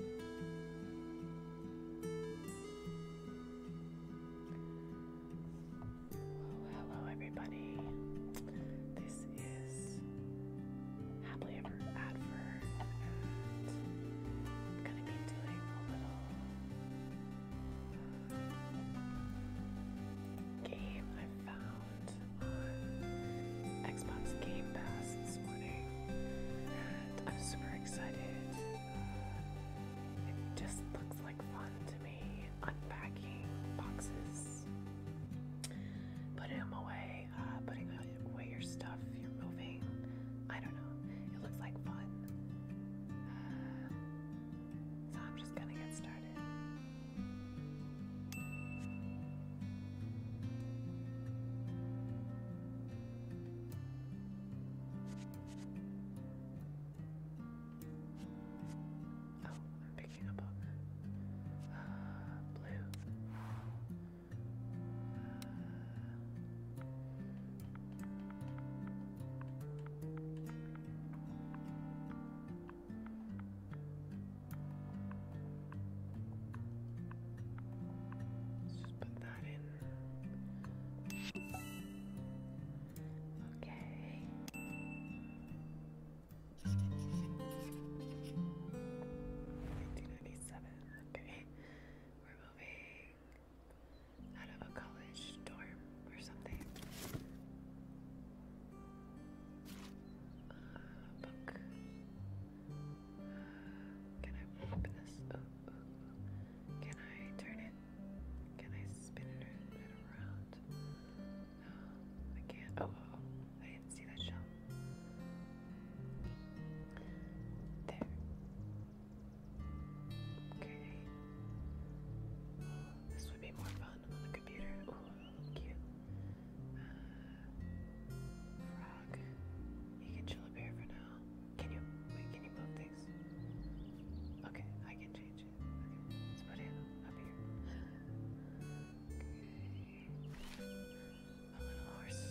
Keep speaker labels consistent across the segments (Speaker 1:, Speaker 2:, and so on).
Speaker 1: Oh, hello, everybody. This is Happily Ever Adver, I'm going to be doing a little uh, game I found on Xbox Game Pass this morning. I'm super excited. it just looks like fun to me unpacking boxes, putting them away, uh, putting away your stuff, you're moving. I don't know. It looks like fun. Uh, so I'm just gonna get started. Oh, I'm picking up on uh, blue. Let's just put that in. Okay. Nineteen ninety seven, okay. We're moving out of a college dorm or something. Uh, book. Can I flip this? Can I turn it? Can I spin it around? I can't. Oh, I didn't see that shell. There. Okay. This would be more fun on the computer. Oh, cute. Uh, you can chill up here for now. Can you wait? Can you move things? Okay, I can change it. let's put him up here. Okay. A little horse.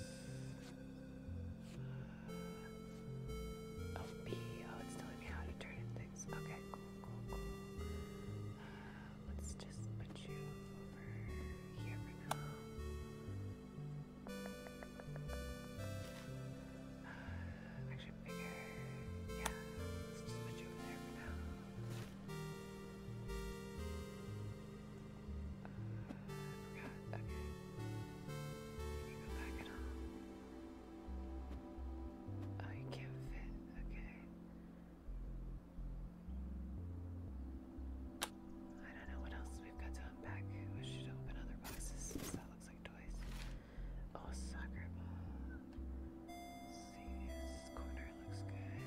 Speaker 1: Uh, oh, oh, it's telling me how to turn things. Okay, cool, cool, cool. Uh, let's just put you over here for now. Actually, bigger. Yeah, let's just put you over there for now. Uh, I forgot. Okay. Can you go back at Oh, you can't fit. Okay. I don't know what else we've got to unpack. We should open other boxes that looks like toys. Oh, soccer ball. see, this corner looks good.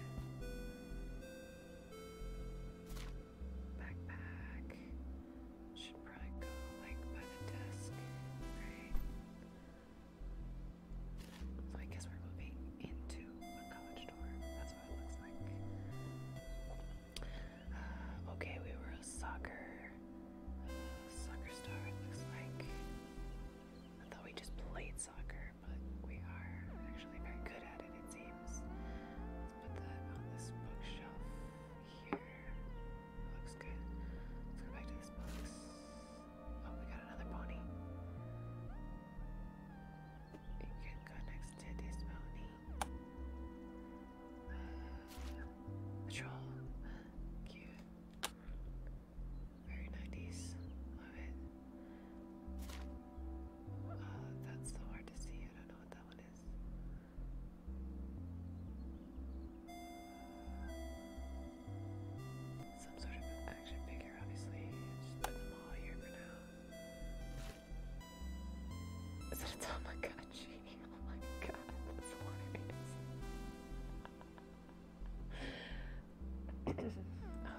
Speaker 1: Backpack. Should probably go like by the desk, right? So I guess we're moving into a college dorm. okay, we were a soccer, soccer star, it looks like. I thought we just played soccer, but we are actually very good at it, it seems. Let's put that on this bookshelf here. looks good. Let's go back to this box. Oh, we got another pony. You can go next to this pony. Uh, Cute. Very 90s. Love it. that's so hard to see. I don't know what that one is. Some sort of action figure, obviously. put them all here for now. So it's oh my god, Oh my god,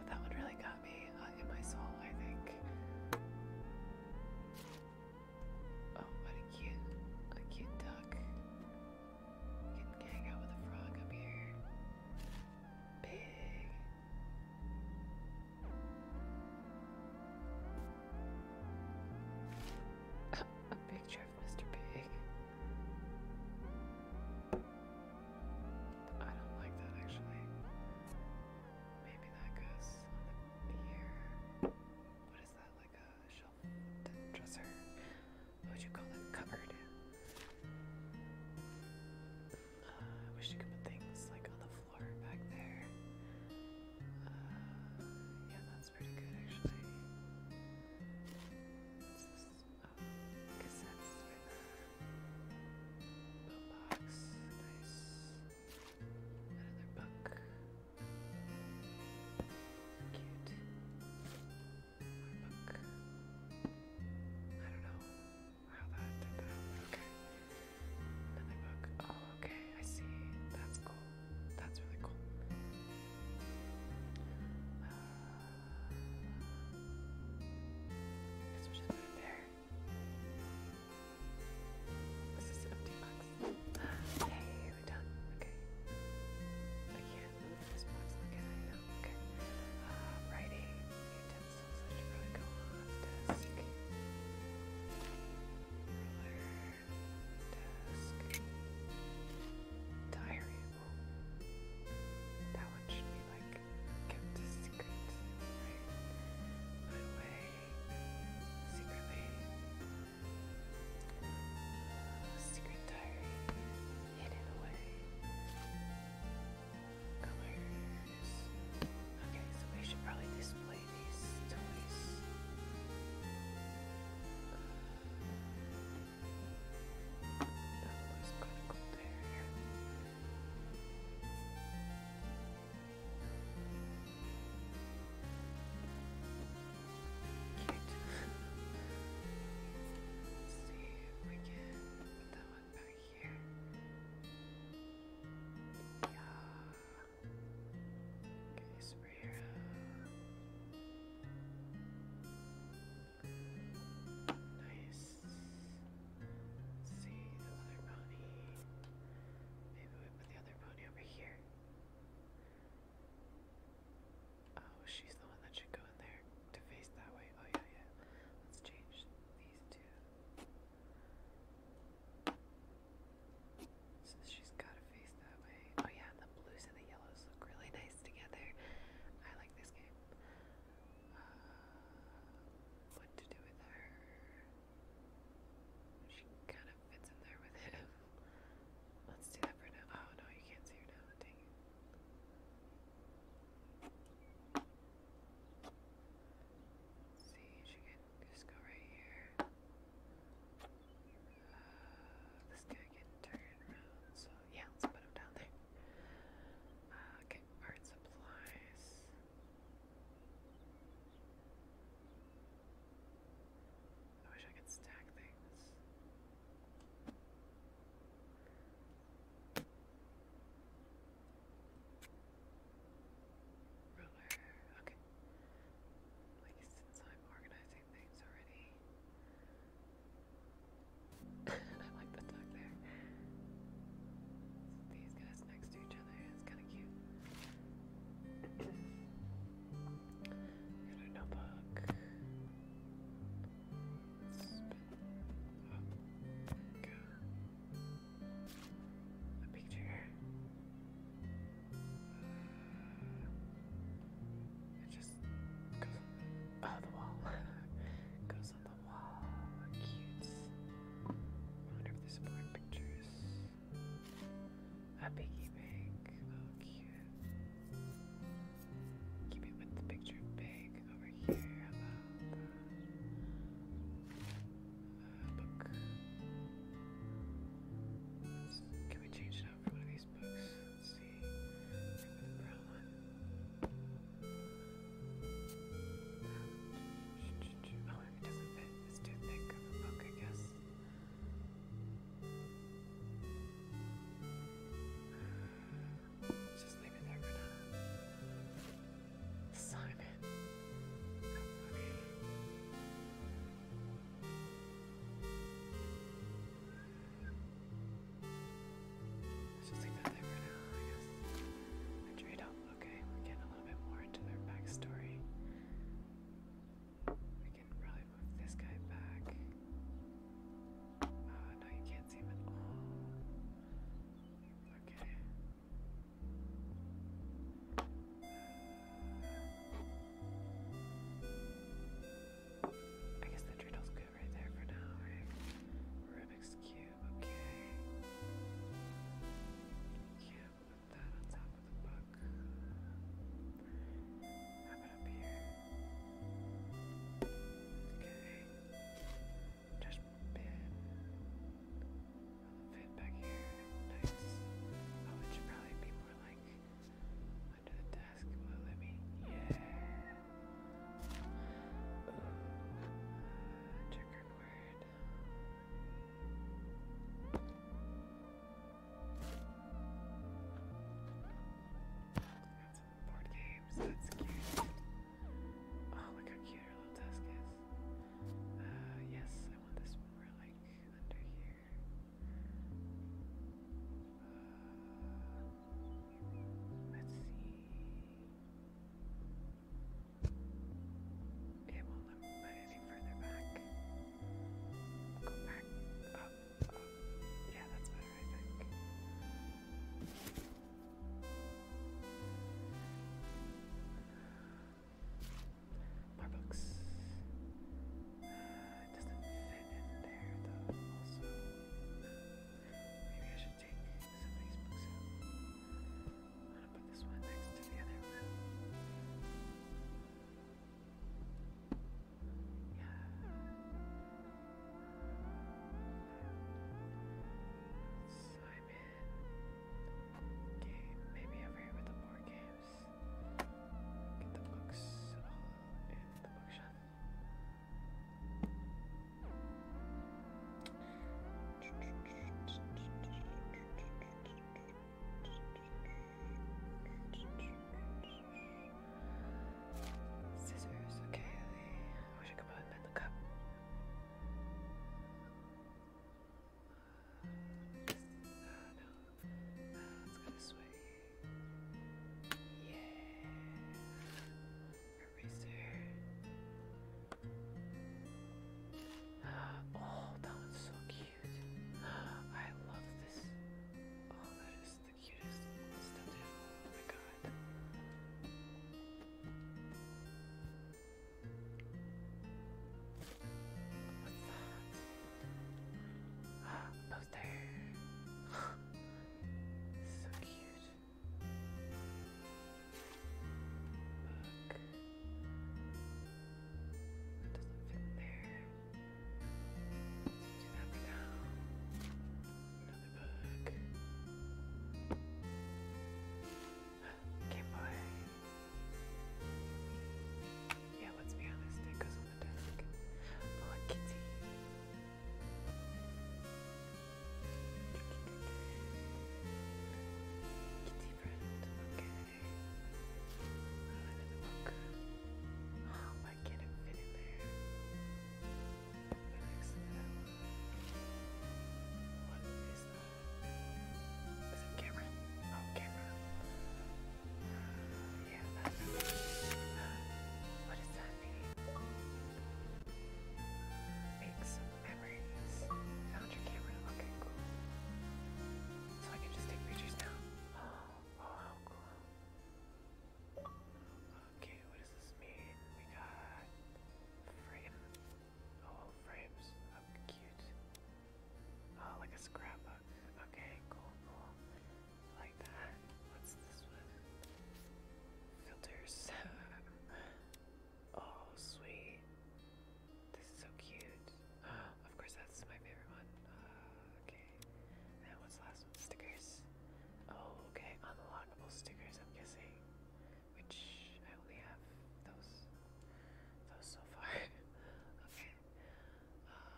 Speaker 1: that one really got me uh, in my soul, I think. Oh, what a cute, a cute duck. can hang out with a frog up here. Big. A picture of Mr. Pig. I don't like that actually. Maybe that goes here. What is that? Like a shelf dresser? would you call it? Cupboard. I wish you could put things like on the floor back there. Uh, yeah, that's pretty good actually. What's this? Oh, nice. Another book. Cute. More book. I don't know how that did that, okay. Another book. Oh, okay, I see. That's cool. That's really cool. Uh, this just put it there. This is empty box. Hey, we're done. Okay. I this box. Okay, I Okay. Uh, pencils that diary. That one should be like kept secret, right? away secretly. Secret diary hidden away. Okay, so we should probably display these toys. Oh, that looks kind there. Cute. see if we can put that one back here. Okay, superhero. Nice. see the other pony. Maybe we put the other pony over here. Oh, she's the one that should go in there to face that way. Oh yeah, yeah. Let's change so she's got a face that way. Oh yeah, the blues and the yellows look really nice together. I like this game. Uh, what to do with her? She kind of fits in there with him. Let's do that for now. Oh no, you can't see her now. Dang it. Let's see, can just go right here. Uh, this guy can turn around, so yeah, let's put him down there. Uh, okay, art supplies. I wish I could stack things. Ruler. Okay. since I'm organizing things already. I like the duck there. these guys next to each other is kind of cute. Got a notebook. Oh, A picture. It just goes on the wall. goes on the wall. Cute. wonder if there's more pictures. A piggy bank. Oh, cute. Keep it with the picture big can we change it out for one of these books? Let's see. I think the brown one. Oh, it doesn't fit, it's too thick of a book, I guess let just leave it there for now. Simon. just leave that there for now, I guess. trade up. Okay, we're getting a little bit more into their backstory. We can probably move this guy back. Uh, no, you can't see him at all. Okay. I guess the turtle's good right there for now, Rubik's Cube, okay. Yeah, put that on top of the book. up here. Okay just been all back here. Nice. Oh, it probably be more like under the desk. let me? Yeah. Ooh. Uh, board games. That's cute. Oh, look how cute our little tusk is. Uh, yes, I want this more like under here. Uh, let's see. It won't let me put any further back. Go back up. up. Yeah, that's better, I think. More books. it doesn't fit in there though, also. Maybe I should take some of I'm gonna put this one next to the other one. Yeah. Simon. Game. Maybe over here with the board games. Get the books in the bookshelf. Scissors, okay, I wish I could put them in the cup. Yeah. Eraser. Oh, that one's so cute. I love this. Oh, that is the cutest Oh my god. What's that? A poster. so cute. Book. doesn't fit there. Do that for Another bug. boy. Yeah, let's be honest, it on the desk. Oh, kitty. Kitty friend, okay. Oh, another book. Oh, why can fit in there? lyrics now. What is that? Is it Cameron? Oh, Cameron. Uh, yeah, that's What does that mean? Make some memories. Found your camera. Okay, cool. So I can just take pictures now. Oh, oh how cool. Okay, what does this mean? We got frame. Oh, frames. Oh, cute. Oh, like a scrapbook. Okay, cool, cool. like that. What's this one? Filters. oh, sweet. This is so cute. of course, that's my favorite one. Uh, okay. And what's last one? Stickers. Oh, okay, unlockable stickers, I'm guessing. Which I only have those those so far. okay. Uh,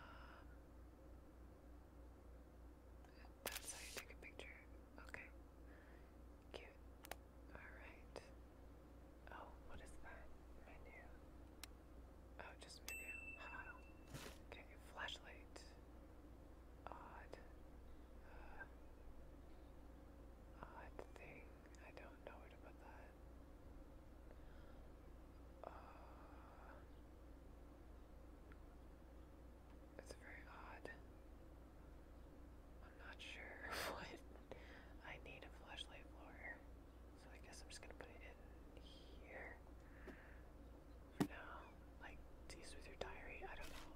Speaker 1: that's how you take a picture. Okay. Cute. Alright. Oh, what is that? Menu. Oh, just menu. okay, flashlight odd, uh, odd thing. I don't know where to put that. Uh, it's very odd. I'm not sure what I need a flashlight for, so I guess I'm just gonna put it in here for now. Like tease with your diary. I don't know.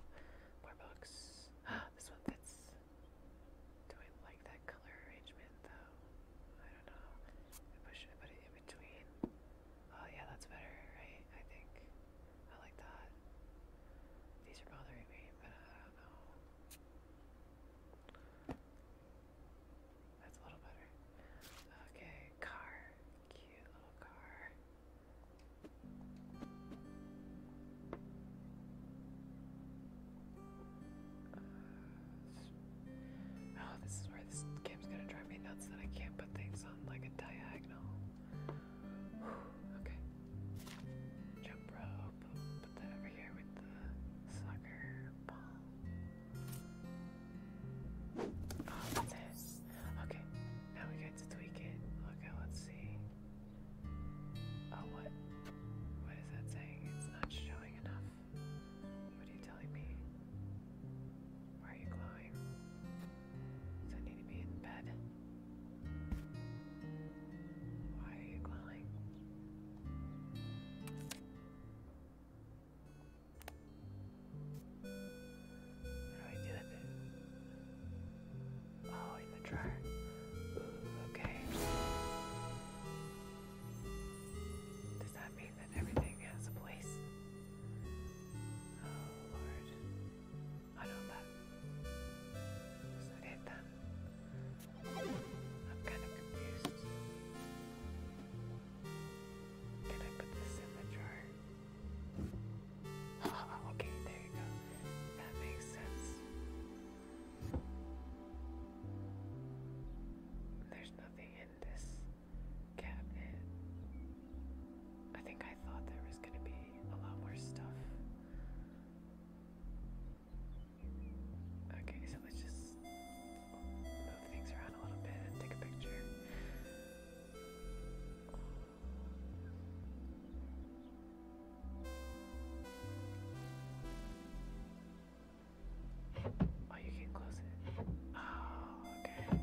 Speaker 1: More books. Ah, this one fits. Do I like that color arrangement though? I don't know. I should I put it in between? Oh yeah, that's better, right? I think. I like that. These are bothering me, but I don't know. That's a little better. Okay, car. Cute little car. Uh, oh, this is where this game's gonna drive me nuts that I can't put things on like a diagonal. okay. Jump rope. Put that over here with the soccer ball. Oh, okay, now we get to tweak it. Okay, let's see. Oh, what? What is that saying? It's not showing enough. What are you telling me? Why are you glowing? Does I need to be in bed? Why are you glowing? How do I do that? Oh, in the dryer. okay. Does that mean that everything has a place? Oh, Lord. I know that. So did that. I'm kind of confused. Did I put this in the jar? okay, there you go. That makes sense. There's nothing in this cabinet. I think I thought there was going to be a lot more stuff. Okay, so let's just move things around a little bit and take a picture. Oh, you can close it. Oh, okay.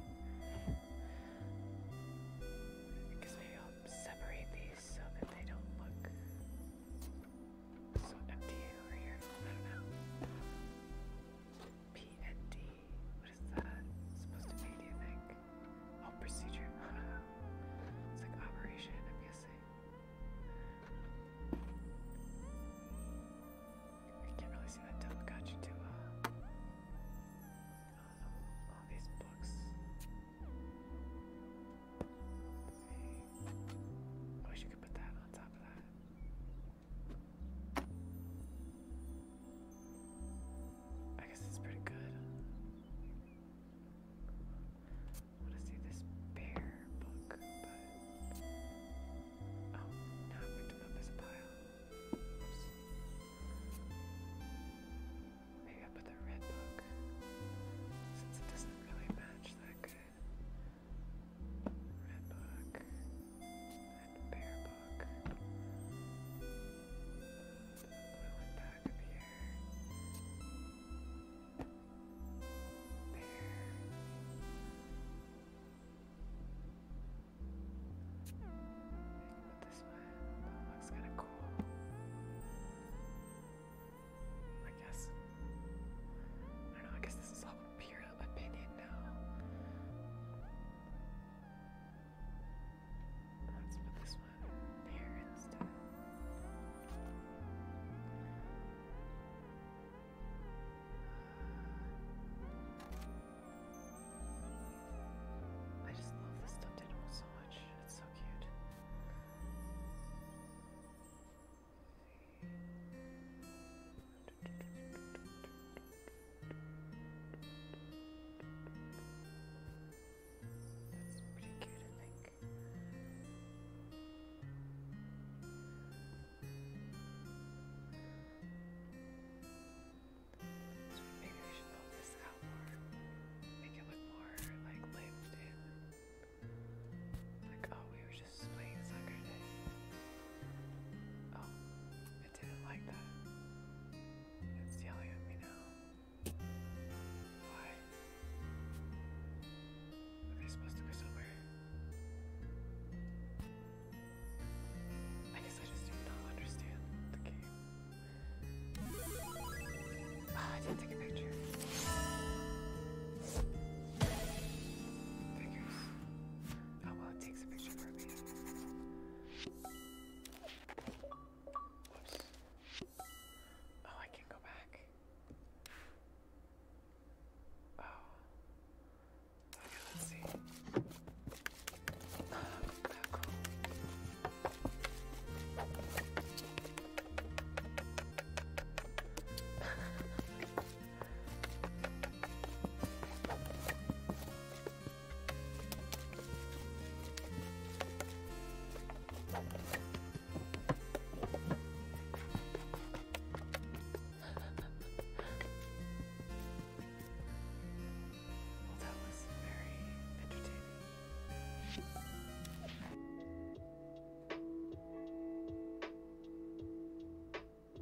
Speaker 1: I guess maybe i separate these so that they don't look so empty over here. I don't know. P what is that? supposed to be, do you think? Oh, procedure. it's like operation, I'm guessing. I can't really see that dump got uh, all these books. I wish you could put that on top of that. I guess it's pretty good. I want to see this bear book, but oh, now I picked him up as a pile. Maybe I put the red book since it doesn't really match that Red book and Bear Book. We went back up here. Bear. But this one, looks kind of cool. I guess. I don't know, I guess this is all pure opinion now. That's what this one. Parents' do. I just love this stuffed animal so much. It's so cute. That's pretty cute, I think. maybe we should build this out more, make it look more like lived in. Like, oh, we were just playing soccer Oh, I didn't like that. It's yelling at me now. Why? Are they supposed to go somewhere? I guess I just do not understand the game. Ah, I didn't take a picture. Figures. Oh well, it takes a picture for me. Oh, I can go back. Oh. Okay, let's see. Oh, Well, that was very entertaining.